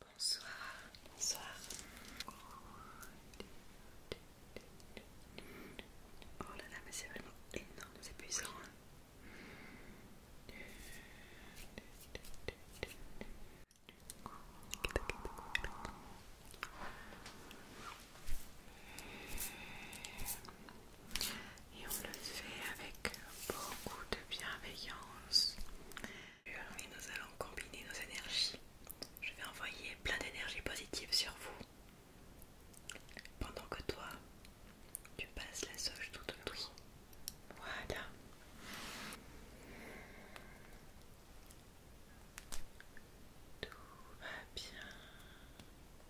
Bonsoir. Bonsoir. Oh là là, mais c'est vraiment énorme, c'est puissant. Et on le fait avec beaucoup de bienveillance. Et nous allons combiner nos énergies. Je vais envoyer plein d'énergie positive sur vous. Pendant que toi, tu passes la soche tout autour. Voilà. Tout va bien.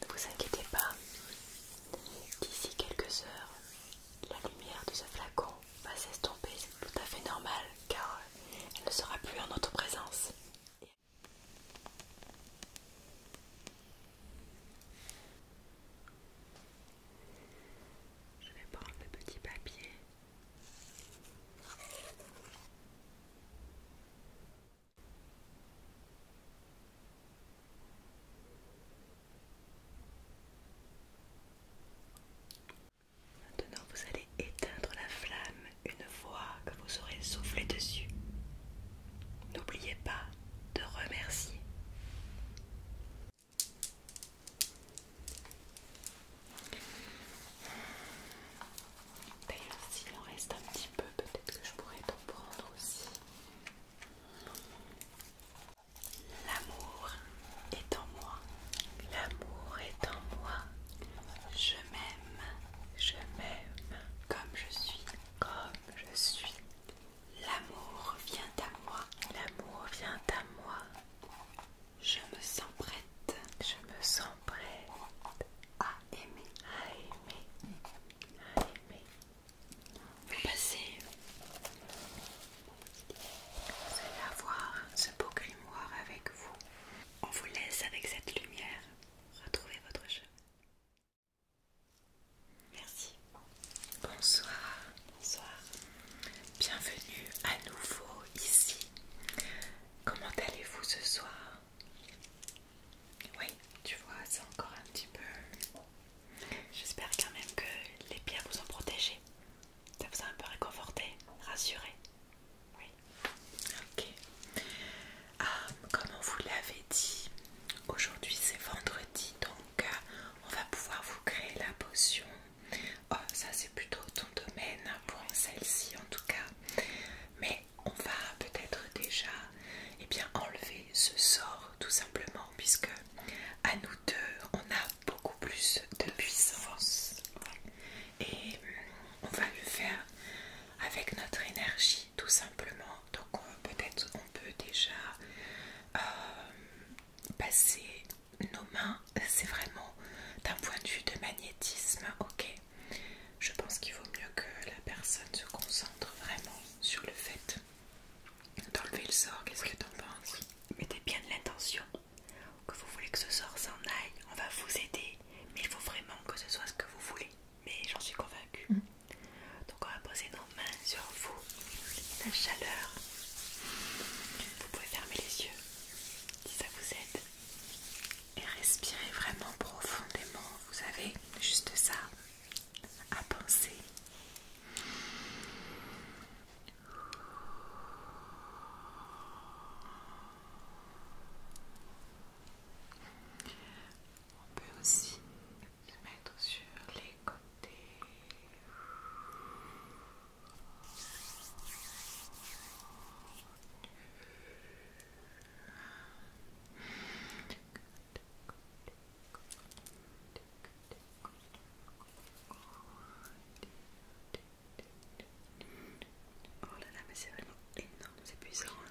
Ne vous inquiétez pas, d'ici quelques heures, la lumière de ce flacon va s'estomper, c'est tout à fait normal car elle ne sera plus en notre présence. Je vais prendre le petit papier. Maintenant, vous allez éteindre la flamme une fois que vous aurez soufflé dessus. N'oubliez pas de remercier. D'ailleurs, s'il en reste un petit peu, peut-être que je pourrais t'en prendre aussi. L'amour est en moi. L'amour est en moi. Je m'aime. Je m'aime. Comme je suis je suis. L'amour vient à moi. L'amour vient à moi. Je me sens prête. Je me sens prête à aimer. À aimer. À aimer. Vous passez. Vous allez avoir ce beau grimoire avec vous. On vous laisse avec cette lumière. Retrouvez votre chemin. Merci. Bonsoir. Bonsoir. Bienvenue à nouveau ici. Comment allez-vous ce soir Oui, tu vois, c'est encore un petit peu... J'espère quand même que les pierres vous ont protégé. Ça vous a un peu réconforté, rassuré. Oui. Ok. Ah, comme on vous l'avait dit, aujourd'hui c'est vendredi, donc euh, on va pouvoir vous créer la potion. Oh, ça c'est plutôt ton domaine pour celle-ci en tout cas. Mais on va peut-être déjà eh bien, enlever ce sort tout simplement puisque à nous deux on a beaucoup plus de puissance. Et hum, on va le faire avec notre énergie tout simplement. Donc peut-être on peut déjà euh, passer nos mains, c'est vraiment d'un point de vue de magnétisme, ok Je pense qu'il vaut mieux que la personne se concentre vraiment sur le fait d'enlever le sort, qu'est-ce que t'en penses Mettez bien de l'intention que vous voulez que ce sort s'en aille, on va vous aider, mais il faut vraiment que ce soit ce que vous voulez mais j'en suis convaincue. Mm. Donc on va poser nos mains sur vous. La chaleur. Vous pouvez fermer les yeux si ça vous aide. Et respirez vraiment profondément. Vous avez juste ça à penser. On peut aussi se mettre sur les côtés. Oh là là, mais c'est vraiment énorme, c'est puissant. Hein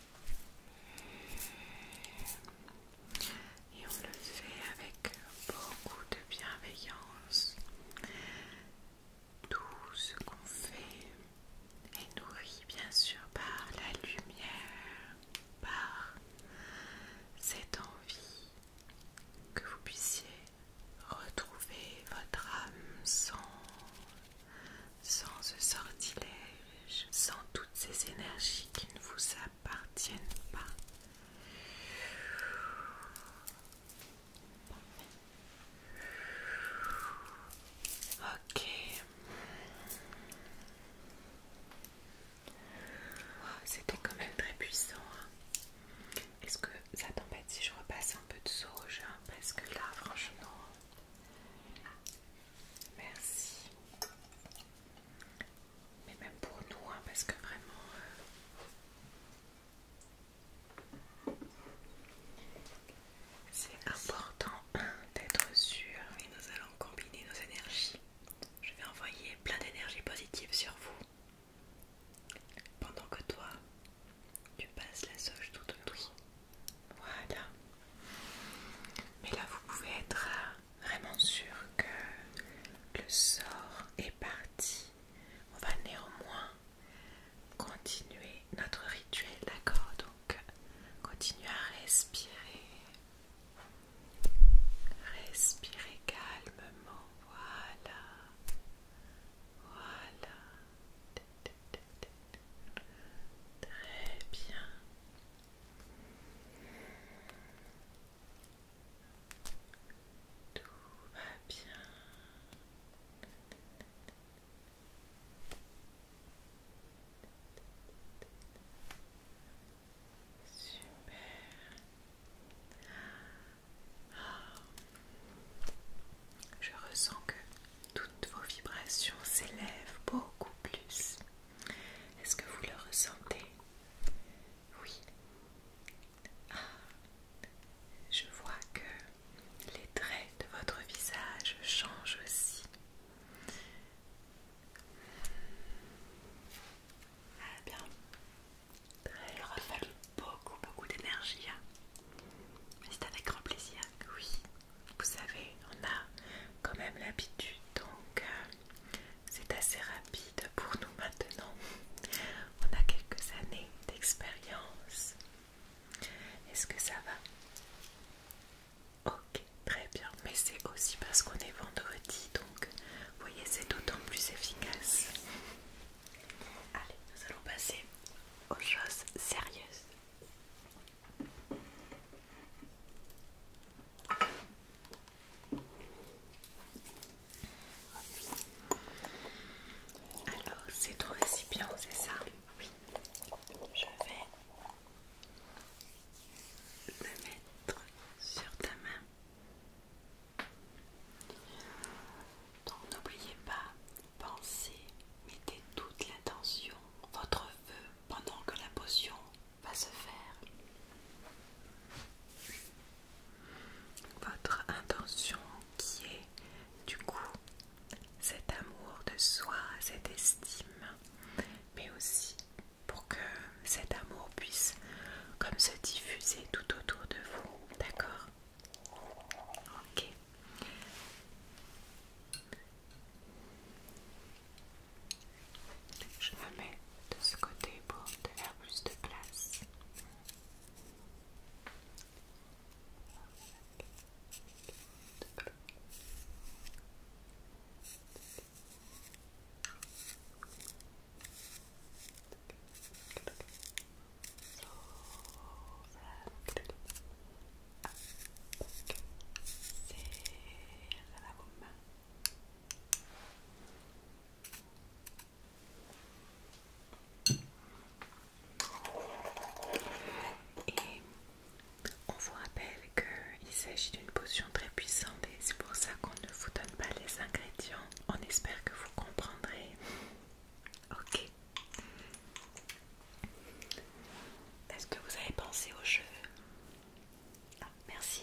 Et on le fait avec beaucoup de bienveillance. Tout ce qu'on fait est nourri bien sûr par la lumière, par cette envie que vous puissiez retrouver votre âme sans sans ce sortilège, sans toutes ces énergies qui ne vous appartiennent pas. Ok. C'était quand même très puissant. Hein. Est-ce que ça t'embête si je repasse un peu de sauge hein, Parce que là, franchement, Merci. Mais même pour nous, hein, parce que vraiment, euh, c'est important hein, d'être sûr. Et nous allons combiner nos énergies. Je vais envoyer plein d'énergie positive sur vous. Pendant que toi, tu passes la soche tout autour. Voilà. Mais là, vous pouvez être euh, vraiment sûr que le sort est parti. On va néanmoins continuer notre rituel, d'accord Donc, continuez à respirer. Respirez calmement, voilà. Voilà. Très bien. Tout va bien. Super. Ah. Je ressens que toutes vos vibrations s'élèvent beaucoup plus. Est-ce que vous le ressentez Oui. Ah, je vois que les traits de votre visage changent aussi. Ah bien. Elle aura fallu beaucoup, beaucoup d'énergie. Hein. Mais c'est avec grand plaisir. Oui vous savez, on a quand même l'habitude, donc euh, c'est assez rapide pour nous maintenant. On a quelques années d'expérience. Est-ce que ça va Ok, très bien. Mais c'est aussi parce qu'on est vendredi, donc vous voyez, c'est d'autant plus efficace. Allez, nous allons passer aux choses sérieuses. Alors, c'est ton récipient, c'est ça Oui. Je vais le mettre sur ta main. Donc n'oubliez pas pensez, mettez toute l'intention, votre vœu pendant que la potion va se faire. Votre intention qui est du coup cet amour de soi, cette estime, mais aussi pour que cet amour puisse comme se diffuser tout autour de vous, d'accord Ok. Je me mets de ce côté pour te plus de place c'est la Et on vous rappelle qu'il s'agit d'une potion très puissante et c'est pour ça qu'on ne vous donne pas les ingrédients. On espère que vous comprendrez. Ok. Est-ce que vous avez pensé aux cheveux ah, Merci.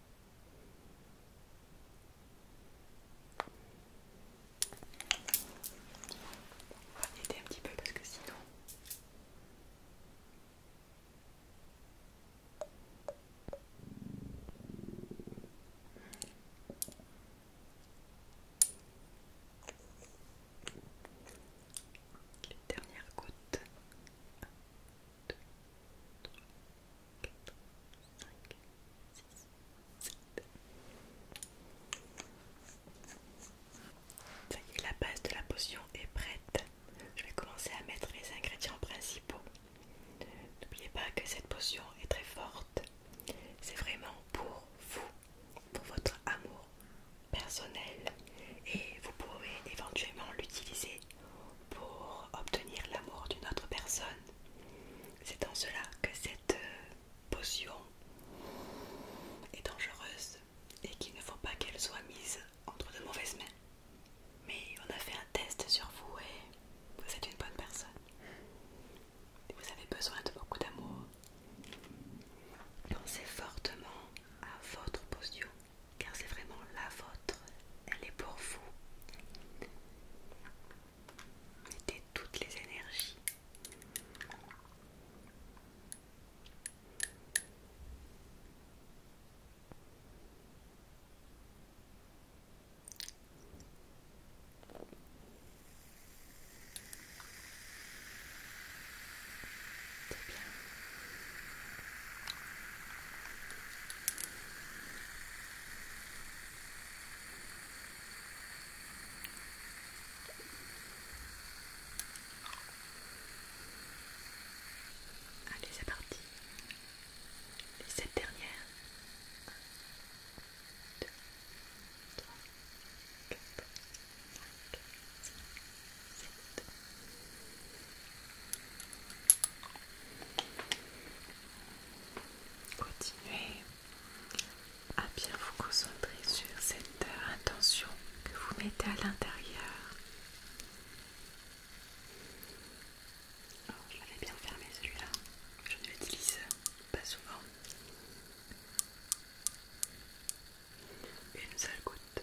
On va un petit peu parce que sinon... Les dernières gouttes. 4, 5, 6, 7. Ça y est, la base de la potion est prête. Je vais commencer à mettre les ingrédients principaux. N'oubliez pas que cette potion est très forte. C'est vraiment pour vous, pour votre amour personnel. Et vous pouvez éventuellement l'utiliser pour obtenir l'amour d'une autre personne. C'est en cela que cette euh, potion est dangereuse et qu'il ne faut pas qu'elle soit mise entre de mauvaises mains. Mais on a fait un test sur vous et vous êtes une bonne personne. Vous avez besoin de beaucoup d'amour. Pensez fortement à votre potion car c'est vraiment la vôtre elle est pour vous. Mettez toutes les énergies. C'est bien. Allez, c'est parti. Les sept dernières. Continuez à bien vous concentrer sur cette intention que vous mettez à l'intérieur. je l'avais bien fermé celui-là, je ne l'utilise pas souvent. Une seule goutte.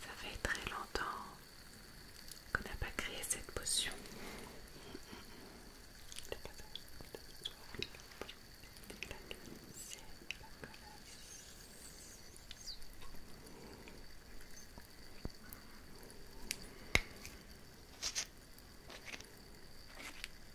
Ça fait très longtemps qu'on n'a pas créé cette potion.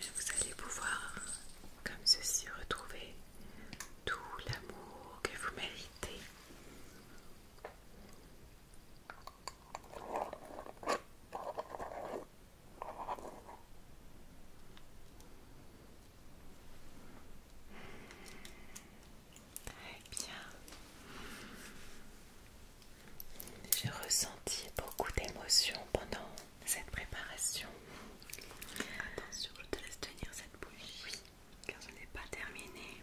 Vous allez pouvoir, comme ceci, retrouver tout l'amour que vous méritez. Eh bien, j'ai ressenti beaucoup d'émotions pendant cette préparation. Attention, je te laisse tenir cette bouche. Oui, car ce n'est pas terminé.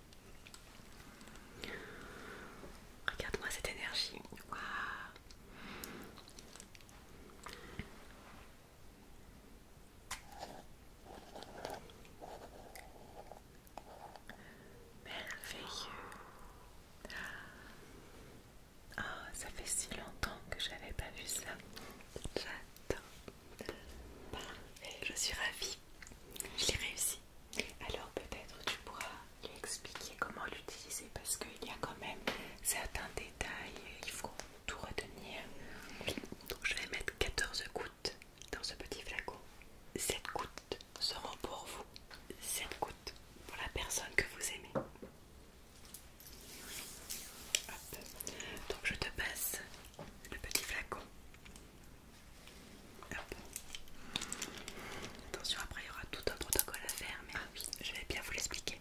Regarde-moi cette énergie. Waouh. Merveilleux. oh, ça fait si longtemps que j'avais pas vu ça. J'attends Parfait, je suis ravie. Je l'ai réussi. Alors peut-être tu pourras lui expliquer comment l'utiliser parce qu'il y a quand même certains détails, euh, il faut tout retenir. Donc je vais mettre 14 gouttes dans ce petit flacon. 7 gouttes seront pour vous, 7 gouttes pour la personne que vous aimez. Donc je te passe le petit flacon. Attention, après il y aura tout un protocole à faire, mais ah je vais bien vous l'expliquer.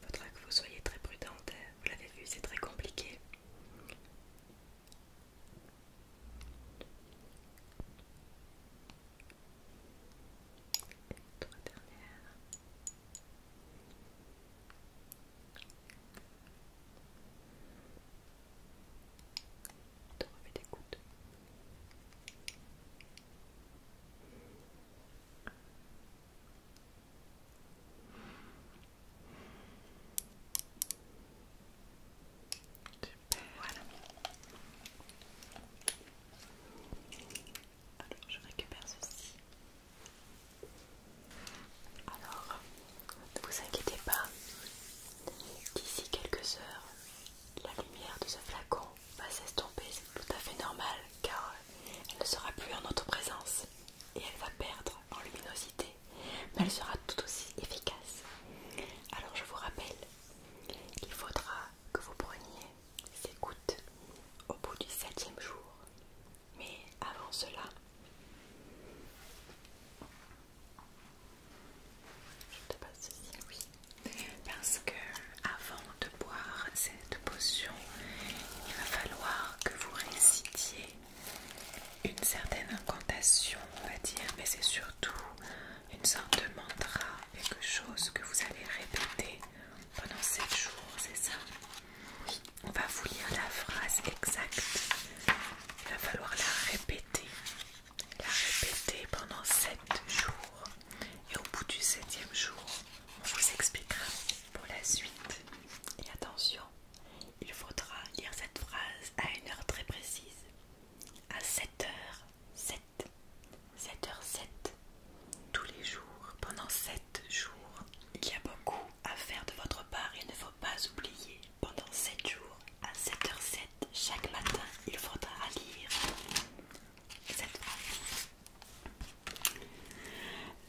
Faudra que vous soyez très prudente, hein. vous l'avez vu, c'est très compliqué. Alors je récupère ceci. Alors, ne vous inquiétez pas, d'ici quelques heures, la lumière de ce flacon va bah, s'estomper, c'est tout à fait normal car euh, elle ne sera plus en notre présence et elle va perdre en luminosité, mais elle sera tout aussi efficace. Alors je vous rappelle qu'il faudra que vous preniez ces gouttes au bout du septième jour, mais avant cela, je te passe ceci, oui parce que avant de boire cette potion, il va falloir que vous récitiez une certaine incantation, on va dire, mais c'est surtout une sorte de mantra, quelque chose que vous allez répéter pendant 7 jours, c'est ça Oui, on va vous lire la phrase exacte. Il va falloir la répéter, la répéter pendant 7 jours. Et au bout du septième jour, on vous expliquera pour la suite. Et attention, il faudra lire cette phrase à une heure très précise. À 7h7. 7h7. Tous les jours, pendant 7 jours. Il y a beaucoup à faire de votre part, il ne faut pas oublier. Pendant 7 jours, à 7h07, chaque matin, il faudra lire cette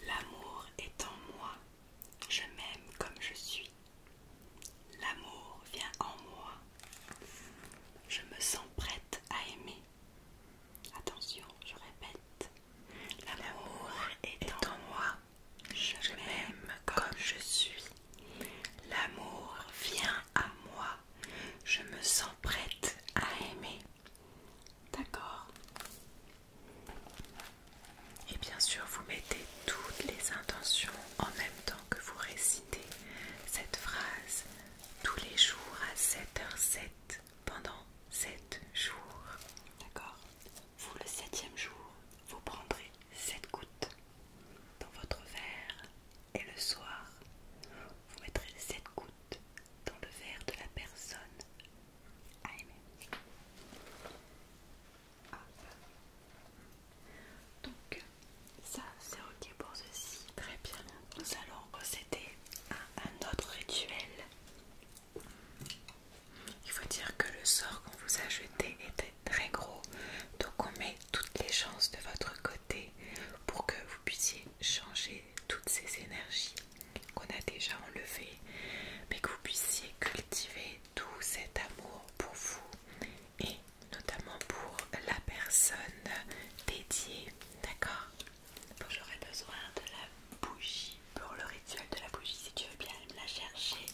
L'amour est en moi, je m'aime comme je suis. L'amour vient en moi, je me sens prête à aimer. Attention, je répète. L'amour est, en moi, je m'aime comme je suis. L'amour vient à moi, je me sens prête à aimer. D'accord. Et bien sûr, vous mettez toutes les intentions en même temps que vous récitez cette phrase tous les jours à 7h07 pendant 7 jours. D'accord Vous, le septième jour, vous prendrez 7 gouttes dans votre verre et le soir, vous mettrez 7 gouttes dans le verre de la personne ah. Donc ça c'est ok pour ceci. Très bien. Nous allons procéder à un autre rituel. Il faut dire que le sort qu'on vous a jeté était très gros. Donc on met toutes les chances de votre côté pour que vous puissiez changer toutes ces énergies qu'on a déjà enlevées, mais que vous puissiez cultiver tout cet amour pour vous et notamment pour la personne dédiée. D'accord J'aurai j'aurais besoin de la bougie pour le rituel de la bougie, si tu veux bien me la chercher.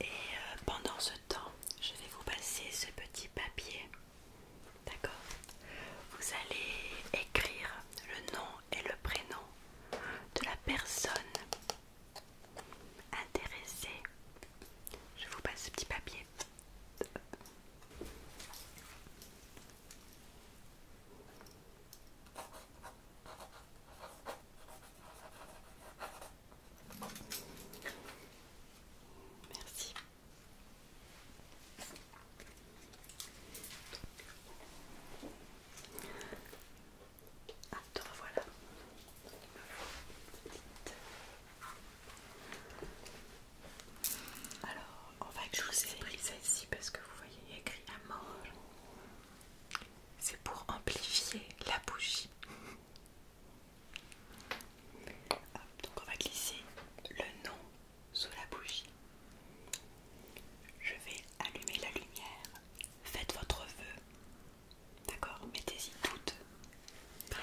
Et euh, pendant ce temps, je vais vous passer ce petit papier D'accord. Vous allez écrire le nom et le prénom de la personne intéressée. Je vous passe ce petit papier. Merci. Alors, on va que je vous ai pris parce que vous voyez, il y a écrit à mort. C'est pour amplifier la bougie donc on va glisser le nom sous la bougie. Je vais allumer la lumière. Faites votre vœu. D'accord Mettez-y toutes.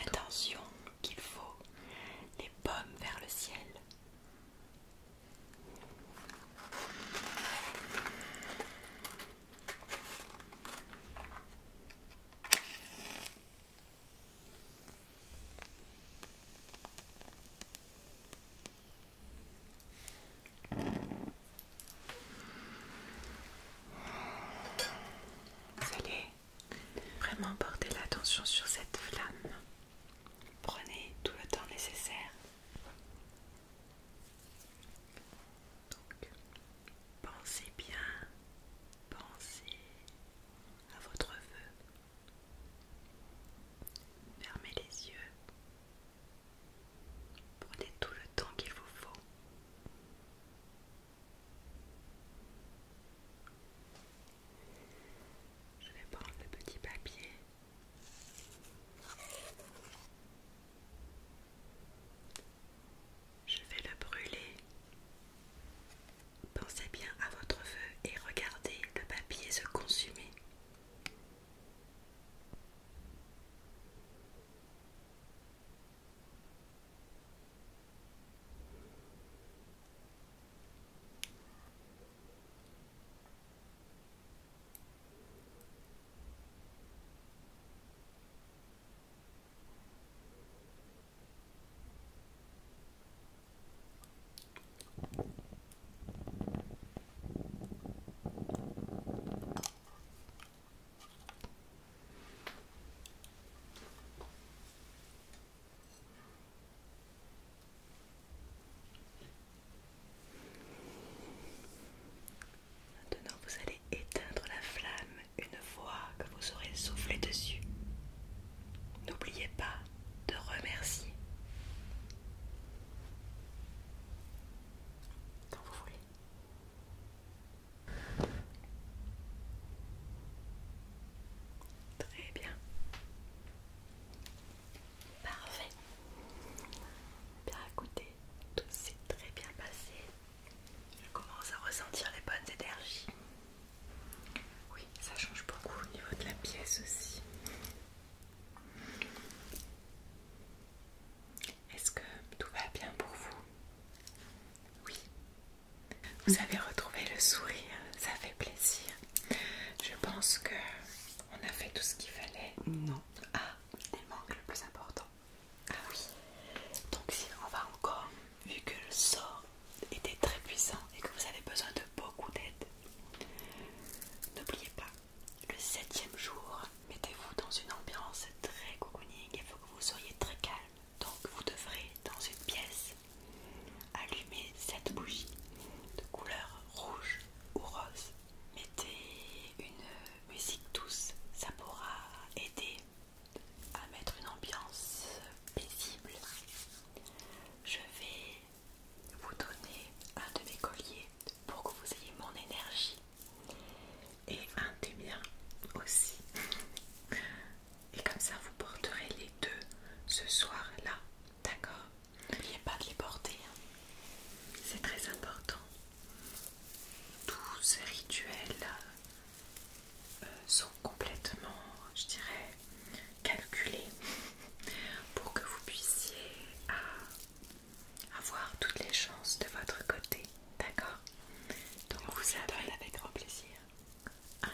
Attention qu'il faut les pommes vers le ciel. Vous vraiment porter l'attention sur cette flamme. Prenez tout le temps nécessaire. Donc, pensez bien Pensez à votre vœu. Fermez les yeux. Prenez tout le temps qu'il vous faut. Je vais prendre le petit papier. Je vais le brûler. Pensez bien à votre feu et regardez le papier se consumer. Maintenant, vous allez éteindre la flamme une fois que vous aurez soufflé dessus. N'oubliez pas de remercier. Quand vous voulez. Très bien. Parfait. Bien écoutez, tout s'est très bien passé. Je commence à ressentir les bonnes énergies. Oui, ça change beaucoup au niveau de la pièce aussi. Est-ce que tout va bien pour vous Oui. Vous avez retrouvé le sourire, ça fait plaisir. Je pense que on a fait tout ce qu'il fallait. Non. Ah, il manque le plus important. Ah oui. Donc si on va encore vu que le sort était très puissant et que vous avez besoin de beaucoup d'aide, n'oubliez pas, le septième jour, mettez-vous dans une ambiance très cocooning, il faut que vous soyez très calme. Donc vous devrez, dans une pièce, allumer cette bougie de couleur rouge ou rose. Mettez une musique douce, ça pourra aider à mettre une ambiance paisible, je vais vous donner un de mes colliers pour que vous ayez mon énergie et un des miens aussi. Et comme ça, vous porterez les deux ce soir-là, d'accord N'oubliez pas de les porter, hein. c'est très important. tous ces rituel sont complètement, je dirais, calculés pour que vous puissiez ah, avoir toutes les chances de votre côté, d'accord Donc vous avez avec grand plaisir un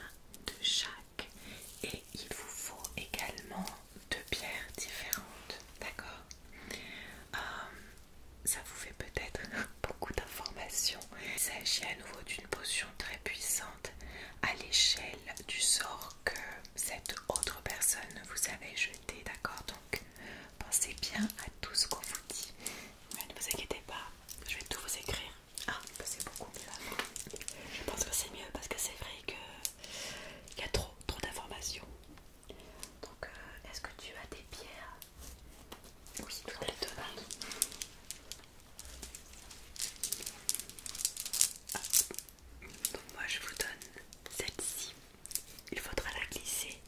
de chaque et il vous faut également deux pierres différentes, d'accord euh, ça vous fait peut-être beaucoup d'informations. Il s'agit à nouveau d'une potion très puissante à l'échelle du sort que cette autre personne vous avait jeté, d'accord Donc pensez bien à tout ce qu'on vous dit. ne vous inquiétez pas, je vais tout vous écrire. Ah, bah, c'est beaucoup mieux Je pense que c'est mieux parce que c'est vrai Il y a trop, trop d'informations. Donc, euh, est-ce que tu as des pierres oui, Donc moi je vous donne celle-ci. Il faudra la glisser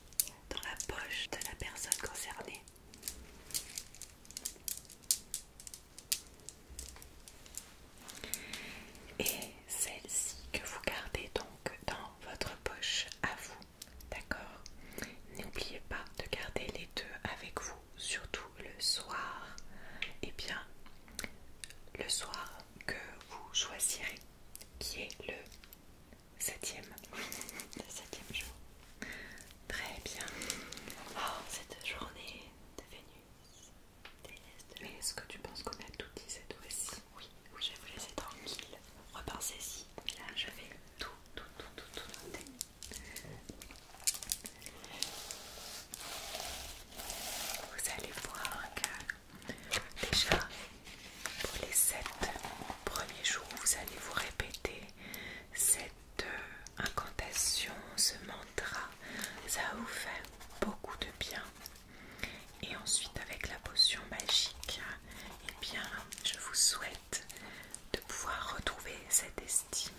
dans la poche de la personne concernée. Et celle-ci que vous gardez donc dans votre poche à vous. D'accord N'oubliez pas de garder les deux avec vous, surtout le soir. Et eh bien, le soir que vous choisirez, qui est le septième. le septième jour. Très bien. Oh, cette journée de Vénus. est-ce que tu penses qu'on a tout dit cette fois-ci Oui, je vais vous laisser tranquille. Repensez-y. Là, je vais tout, tout, tout, tout, tout noter. Vous allez voir que déjà pour les 7 premiers jours, vous allez vous répéter cette euh, incantation, ce mantra. Ça vous fait beaucoup de bien. Et ensuite, avec la potion magique, et eh bien, je vous souhaite de pouvoir retrouver cette estime,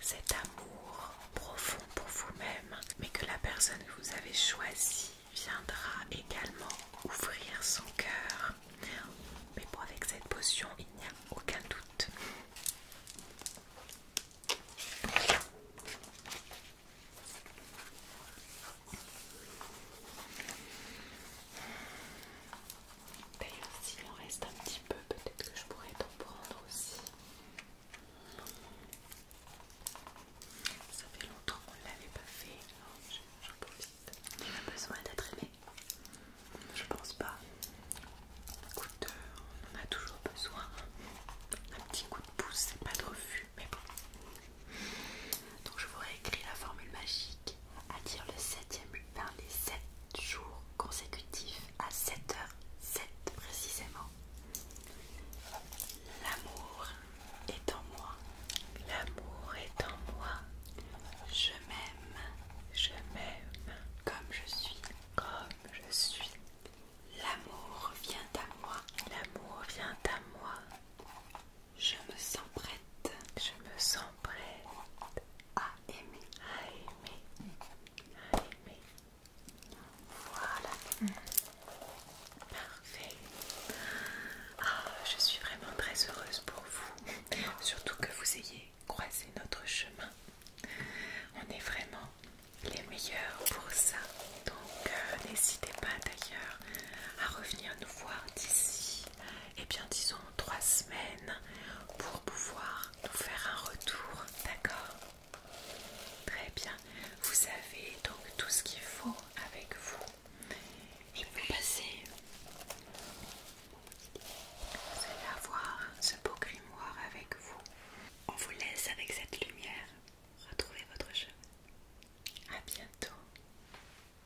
cet amour profond pour vous-même, mais que la personne que vous avez choisie viendra également ouvrir son cœur. Mais bon, avec cette potion, il n'y a aucun doute. D'ailleurs, s'il en reste un petit peu, peut-être que je pourrais t'en prendre aussi. Ça fait longtemps qu'on ne l'avait pas fait, j'en profite. Il a besoin d'être aimé Je pense pas. Écoute, euh, on en a toujours besoin. Un petit coup de pouce, c'est pas de refus, mais bon. Donc je vous réécris la formule magique à dire le septième par les sept jours consécutifs à 7h07 précisément. L'amour est en moi. L'amour est en moi. Je m'aime. Je m'aime. Comme je suis. Comme je suis. L'amour vient à moi. L'amour vient à moi. Je me sens prête. Je me sens prête à aimer. À aimer. À aimer. Voilà. Parfait. Ah, je suis vraiment très heureuse pour vous. Surtout que vous ayez croisé notre chemin. On est vraiment les meilleurs pour ça. Donc euh, n'hésitez pas d'ailleurs à revenir nous voir d'ici et eh bien disons trois semaines pour pouvoir nous faire un retour, d'accord Très bien, vous avez donc tout ce qu'il faut avec vous. Et vous passez, vous allez avoir ce beau grimoire avec vous. On vous laisse avec cette lumière. Retrouvez votre chemin. À bientôt.